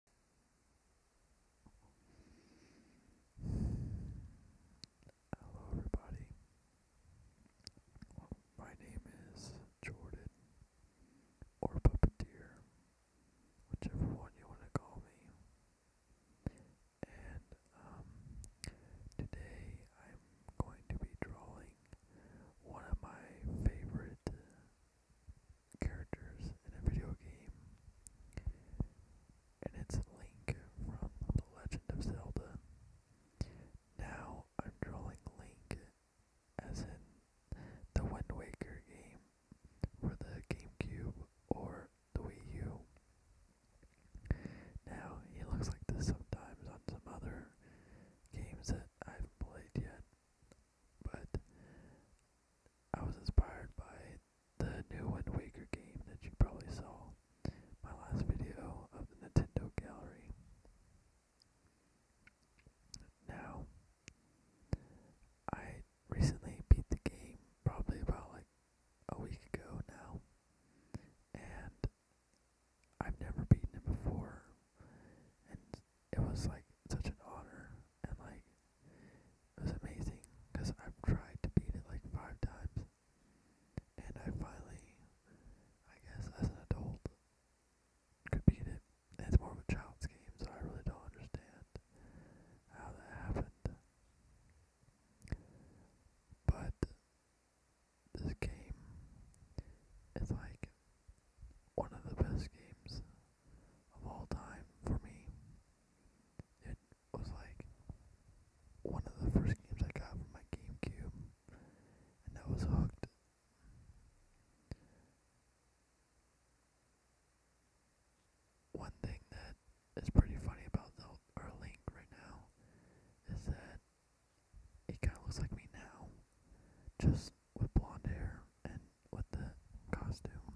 Hello, everybody. My name is Jordan, or Puppeteer, whichever one you want to call me. And um, today I'm going to be drawing one of my favorite characters in a video game, and it's Link from The Legend of Zelda. Now I'm drawing Link as in the Wind Waker game for the GameCube or the Wii U. Now he looks like this sometimes on some other games that I have played yet. But I was inspired by the new Wind Waker game that you probably saw my last video of the Nintendo Gallery. Now, I recently beat the game probably about like a week ago now, and I've never beaten it before, and it was like such an honor, and like it was amazing because I've tried to beat it like five times, and I finally, I guess, as an adult, could beat it. it's more of a child's game, so I really don't understand how that happened. But this game is like one of the best games of all time for me. It was like one of the first games I got for my GameCube, and I was hooked. One thing that is pretty funny about the, our right now is that he kind of looks like me now, just with blonde hair and with the costume.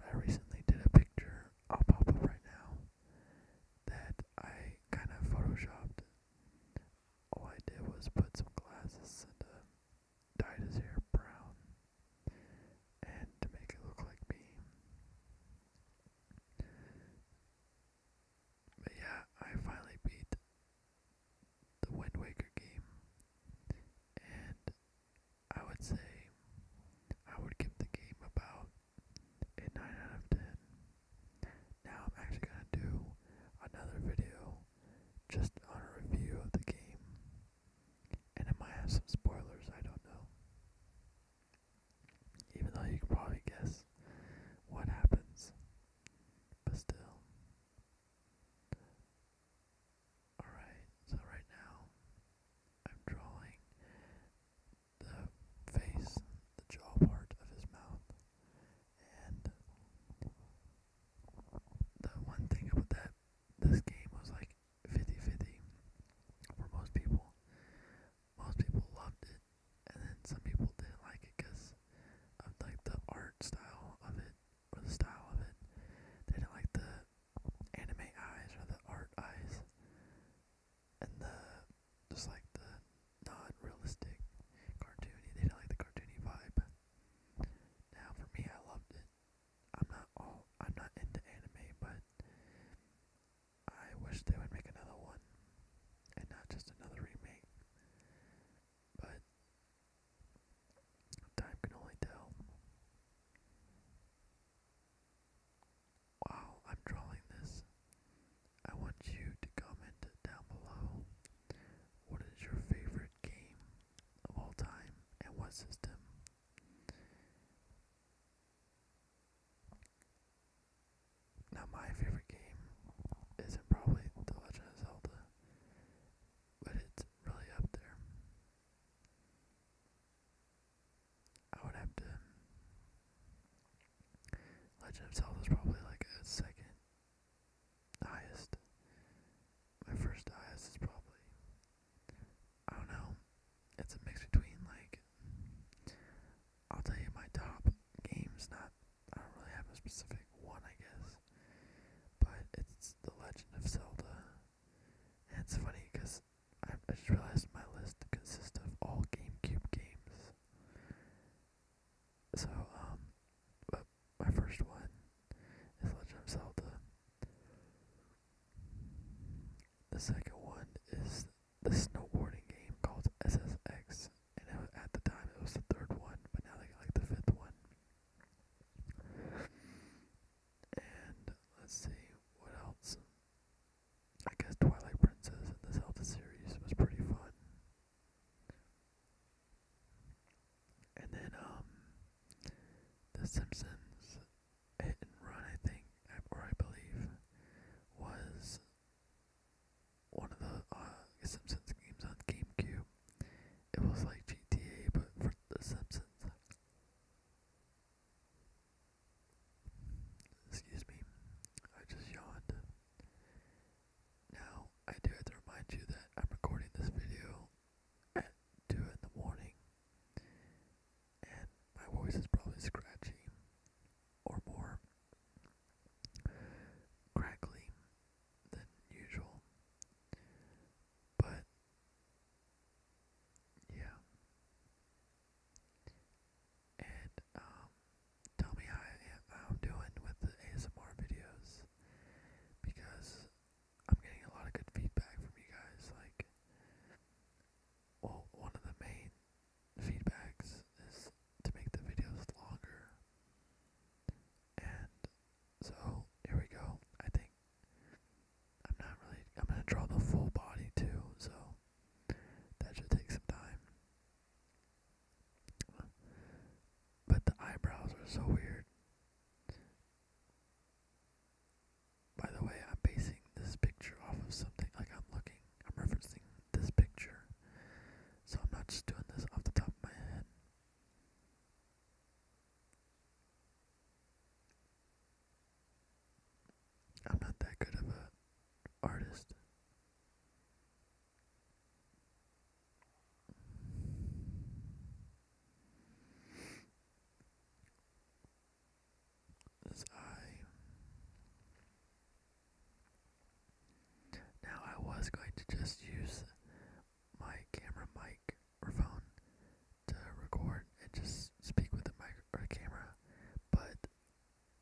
I recently did a picture, I'll pop up right now, that I kind of photoshopped. All I did was put some glasses and uh, dyed his hair brown and to make it look like me. But yeah, I finally beat the Wind Waker game, and I would say I would give the game about a 9 out of 10. Now I'm actually going to do another video just on a review of the game, and it might have some spoilers, I don't know. Even though you can probably guess what happens, but still, Alright, so right now I'm drawing the face, the jaw part of his mouth, and the one thing about that this game was like 50-50 for most people. Most people loved it, and then some people didn't like it because fans of like the art style of it or the style of it. They didn't like the anime eyes or the art eyes and the just like the non-realistic cartoony. They didn't like the cartoony vibe. Now for me, I loved it. I'm not all I'm not into anime, but I wish they would make another one and not just another remake. But Time can only tell. Wow, I'm drawing this. I want you to comment down below what is your favorite game of all time and what system? Now, my favorite game is probably The Legend of Zelda but it's really up there. I would have to. Legend of Zelda is probably like a second highest. My first highest is probably. I don't know. It's a mix between like. I'll tell you my top games, not I don't really have a specific one, I guess. But it's The Legend of Zelda. And it's funny because I, just realized my list consists of all GameCube games. So, um, but my first one is Legend of Zelda. The second one is the snowboarding game called SSX and it was, at the time it was the third one, but now they got like the fifth one. And let's see what else. I guess Twilight Princess in the Zelda series was pretty fun. And then um, The Simpsons Hit and Run, I think, or I believe, was one of the uh, Simpsons games on GameCube. It was like GTA, but for The Simpsons. Excuse me, I just yawned. Now, I do have to remind you that I'm recording this video at 2 in the morning, and my voice is probably scratchy or more crackly than usual. But yeah. And um tell me how I am doing with the ASMR videos because I'm getting a lot of good feedback from you guys like well, one of the main feedbacks is to make the videos longer. And so here we go. I think I'm not really I'm gonna draw the full body too, so that should take some time. But the eyebrows are so weird. By the way, I'm basing this picture off of something like I'm looking I'm referencing this picture. So I'm not just doing this off the top of my head. I'm not that good of a artist. This eye now I was going to just use my camera mic or phone to record and just speak with the mic or camera, but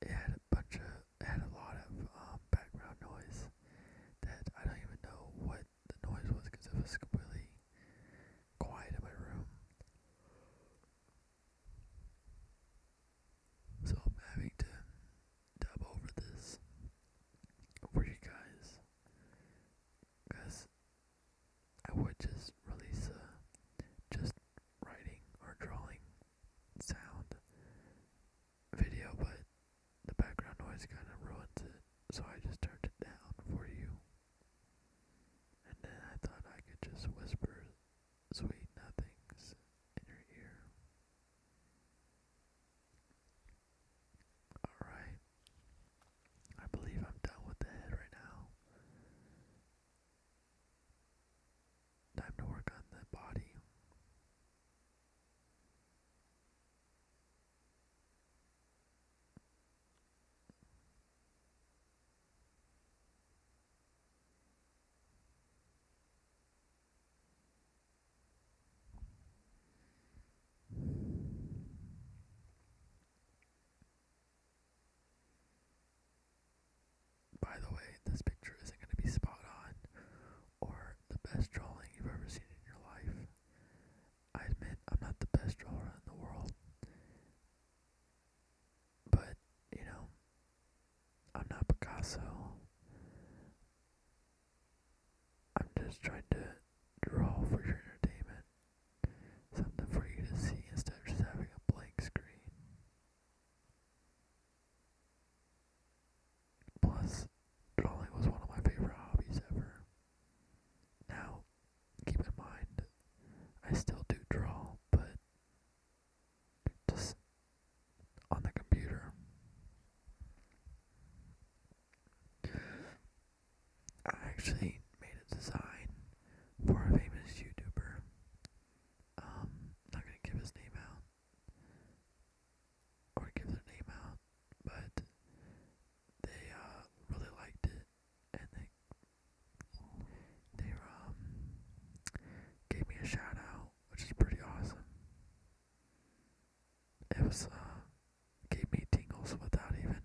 it had a bunch of had a lot of um, background noise that I don't even know what the noise was because it was completely quiet in my room. So I'm having to dub over this for you guys. Because I would just release a just writing or drawing sound video, but the background noise kind of ruins it, so I just turned it down for you. And then I thought I could just whisper sweet nothings in your ear. Alright. I believe I'm done with the head right now. Time to work on the body. By the way, this picture isn't going to be spot on or the best drawing you've ever seen in your life. I admit I'm not the best drawer in the world. But, you know, I'm not Picasso. I'm just trying to draw for your entertainment. Something for you to see instead of just having a blank screen. Plus, drawing was one of my favorite hobbies ever. Now, keep in mind, I still do draw, but just on the computer. I actually made a design for a famous YouTuber. Um, not gonna give his name out or give their name out, but they uh really liked it and they they um gave me a shout out, which is pretty awesome. It was uh gave me tingles without even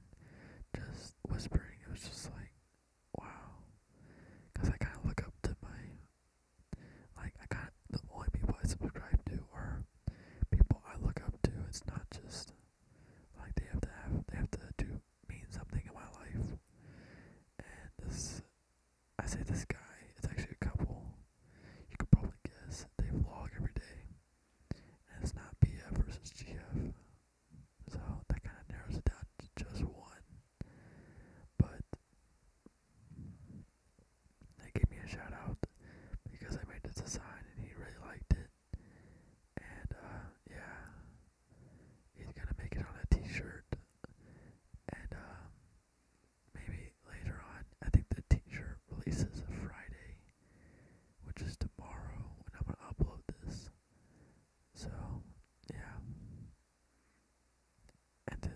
just whispering. It was just like wow, because I kind of look up to my like I kind of the only people I subscribe to are people I look up to. It's not just like they have to have they have to do mean something in my life. And this, I say this guy, it's actually a couple. You could probably guess they vlog every day. And it's not BF versus GF. So that kind of narrows it down to just one. But they gave me a shout out because I made this design and he really liked it. And uh, yeah, he's gonna make it on a T-shirt, and uh, maybe later on. I think the T-shirt releases Friday, which is tomorrow when I'm gonna upload this. So yeah, and to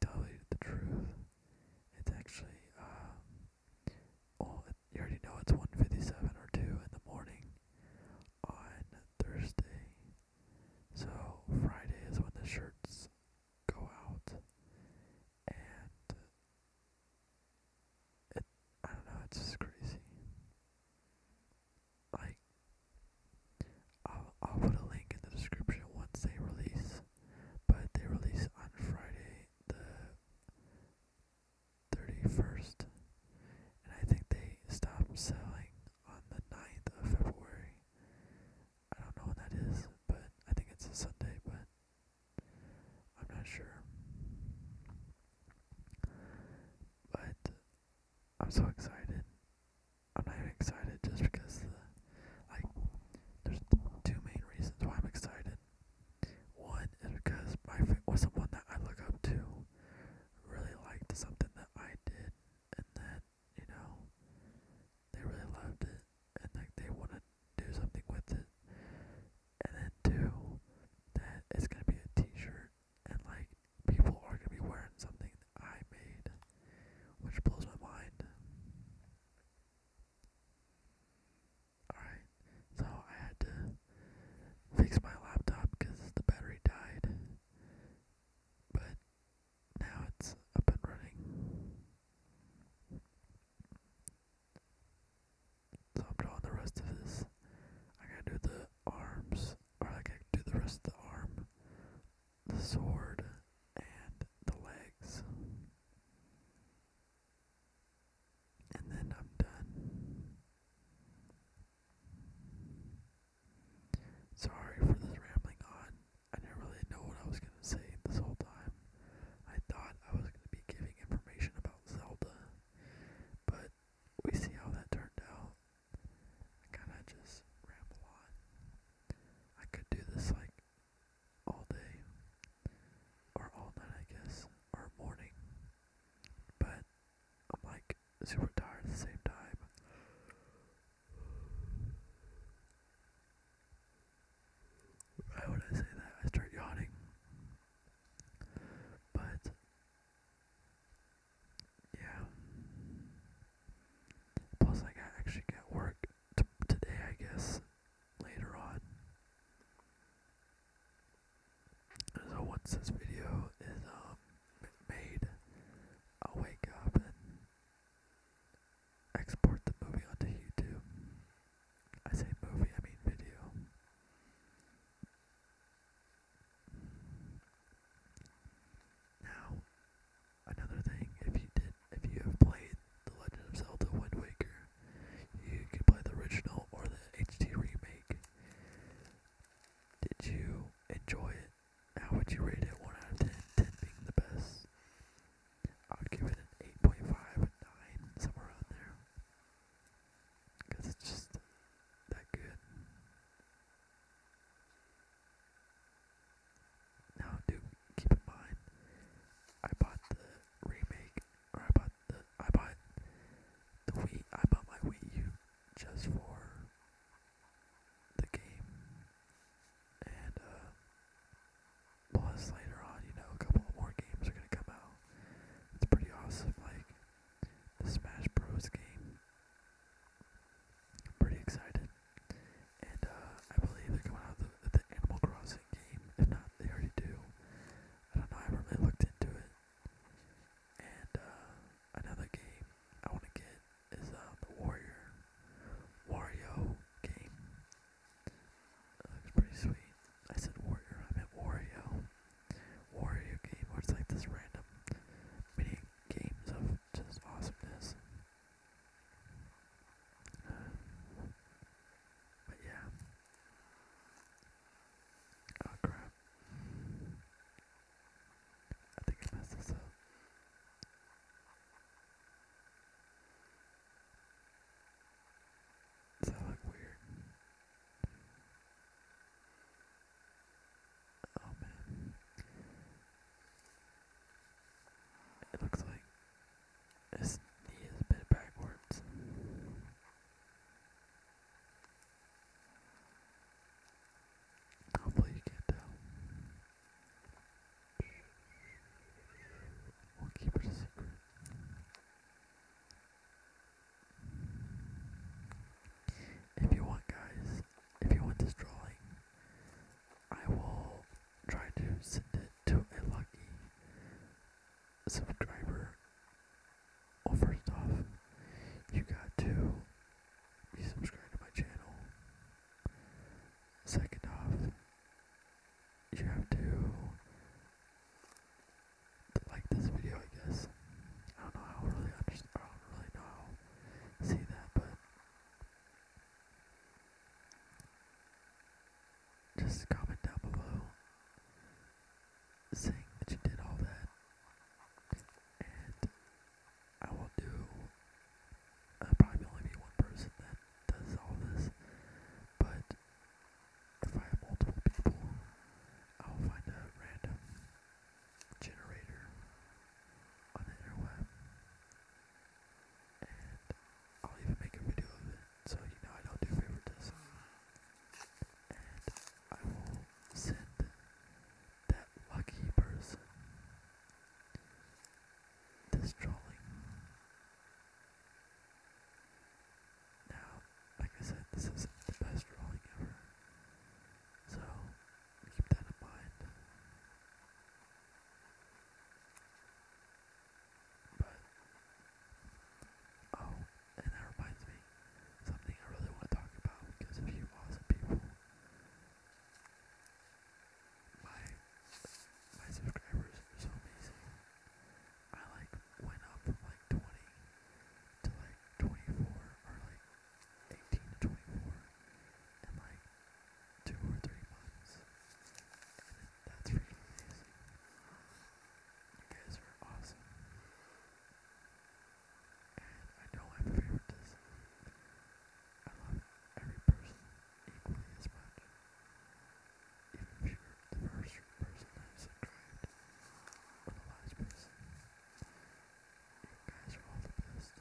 tell you the truth, it's actually um, oh, you already know it's 1:57 or two in the morning on Thursday. So Friday is when the shirts go out. And I don't know, it's just crazy. Like I'll put a link in the description once they release. But they release on Friday the 31st. And I think they stopped selling on the 9th of February. I don't know when that is, but I think it's a Sunday, but I'm not sure. But I'm so excited. I'm not even excited just because like there's two main reasons why I'm excited. One is because my fa- was someone that I look up to really liked something that I did and that, you know, they really loved it and like they wanna do something with it. And then two, that it's gonna be a t shirt and like people are gonna be wearing something that I made. Which blows my mind. Alright. So I had to fix my laptop because the battery died. But now it's up and running. So I'm drawing the rest of this. I gotta do the arms, or I gotta do the rest of the arm, the sword, and the legs and then I'm done. Sorry for this rambling on. I didn't really know what I was going to say this whole time. I thought I was going to be giving information about Zelda, but we see how that turned out. kind of just ramble on. I could do this like all day, or all night, I guess, or morning, but I'm like super tired at the same time. Why would I say that? I start yawning. But yeah. Plus, I actually got work today, I guess. Later on, so once this video is um, made, I'll wake up and export the movie onto YouTube. I say movie, I mean video. Now, another thing, if you did, if you have played The Legend of Zelda Wind Waker, you can play the original or the HD remake. Did you enjoy it? How would you rate it? 1 out of 10, 10 being the best. I'd give it an 8.5, a 9, somewhere around there. Because it's just that good. Now, do keep in mind, I bought the remake, or I bought I bought the Wii I bought my Wii U just for the game and uh plus later on, you know, a couple more games are gonna come out. It's pretty awesome, like the Smash Bros game. I'm pretty excited. And uh I believe they're coming out with the, Animal Crossing game, they already do. I don't know. I haven't really looked into it. And uh, another game I want to get is uh, the Warrior Warrior game. That looks pretty sweet. I said Warrior. I meant Wario. Warrior game where it's like this random mini games of just awesomeness. but yeah, Oh crap. I think I messed this up. Does that look weird? Oh man. It looks like this knee is a bit backwards. Hopefully you can't tell. We'll keep it a secret. If you want guys, if you want this drawing, I will try to send it to a lucky subscriber well first off you got to be subscribed to my channel second off you have to like this video I guess I don't know how really understand I don't really know how see that but just comment down below saying that you did all that. And I will do, uh, probably only be one person that does all this, but if I have multiple people, I'll find a random generator on the interweb I'll even make a video of it, so you know I don't do favoritism. And I will send that lucky person this drawing. Now, like I said, this is the best drawing ever, so keep that in mind. But oh, and that reminds me something I really want to talk about because of you awesome people. My my subscribers are so amazing. I like went up like twenty to like twenty four or like eighteen to twenty four in like two or three months. That's freaking amazing. You guys are awesome. And I know I'm favoritism. I love every person equally as much. Even if you're the first person that I've subscribed, or the last person. You guys are all the best.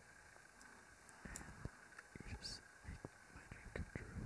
you just make my dream come true.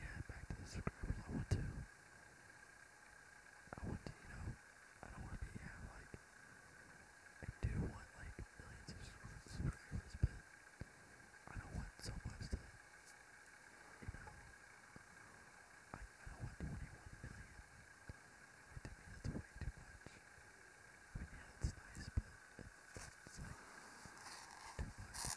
yeah, back to the subscribers. I want to. I want to, you know, I don't want to be, like, I do want, like, millions of subscribers, but I don't want so much to, you know, I, I don't want 21 million. Like, to me, that's way too much. I yeah, it's nice,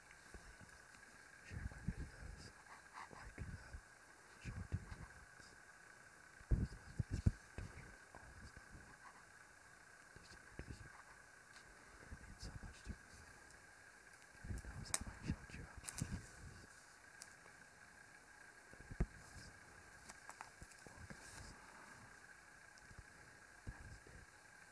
Share my videos. Like them. Show it to your friends. Post on Facebook, Twitter, all this stuff. Just introduce you. It means so much to me. Who knows, I might shout you out my videos. That'd be pretty awesome. Well guys, that is it.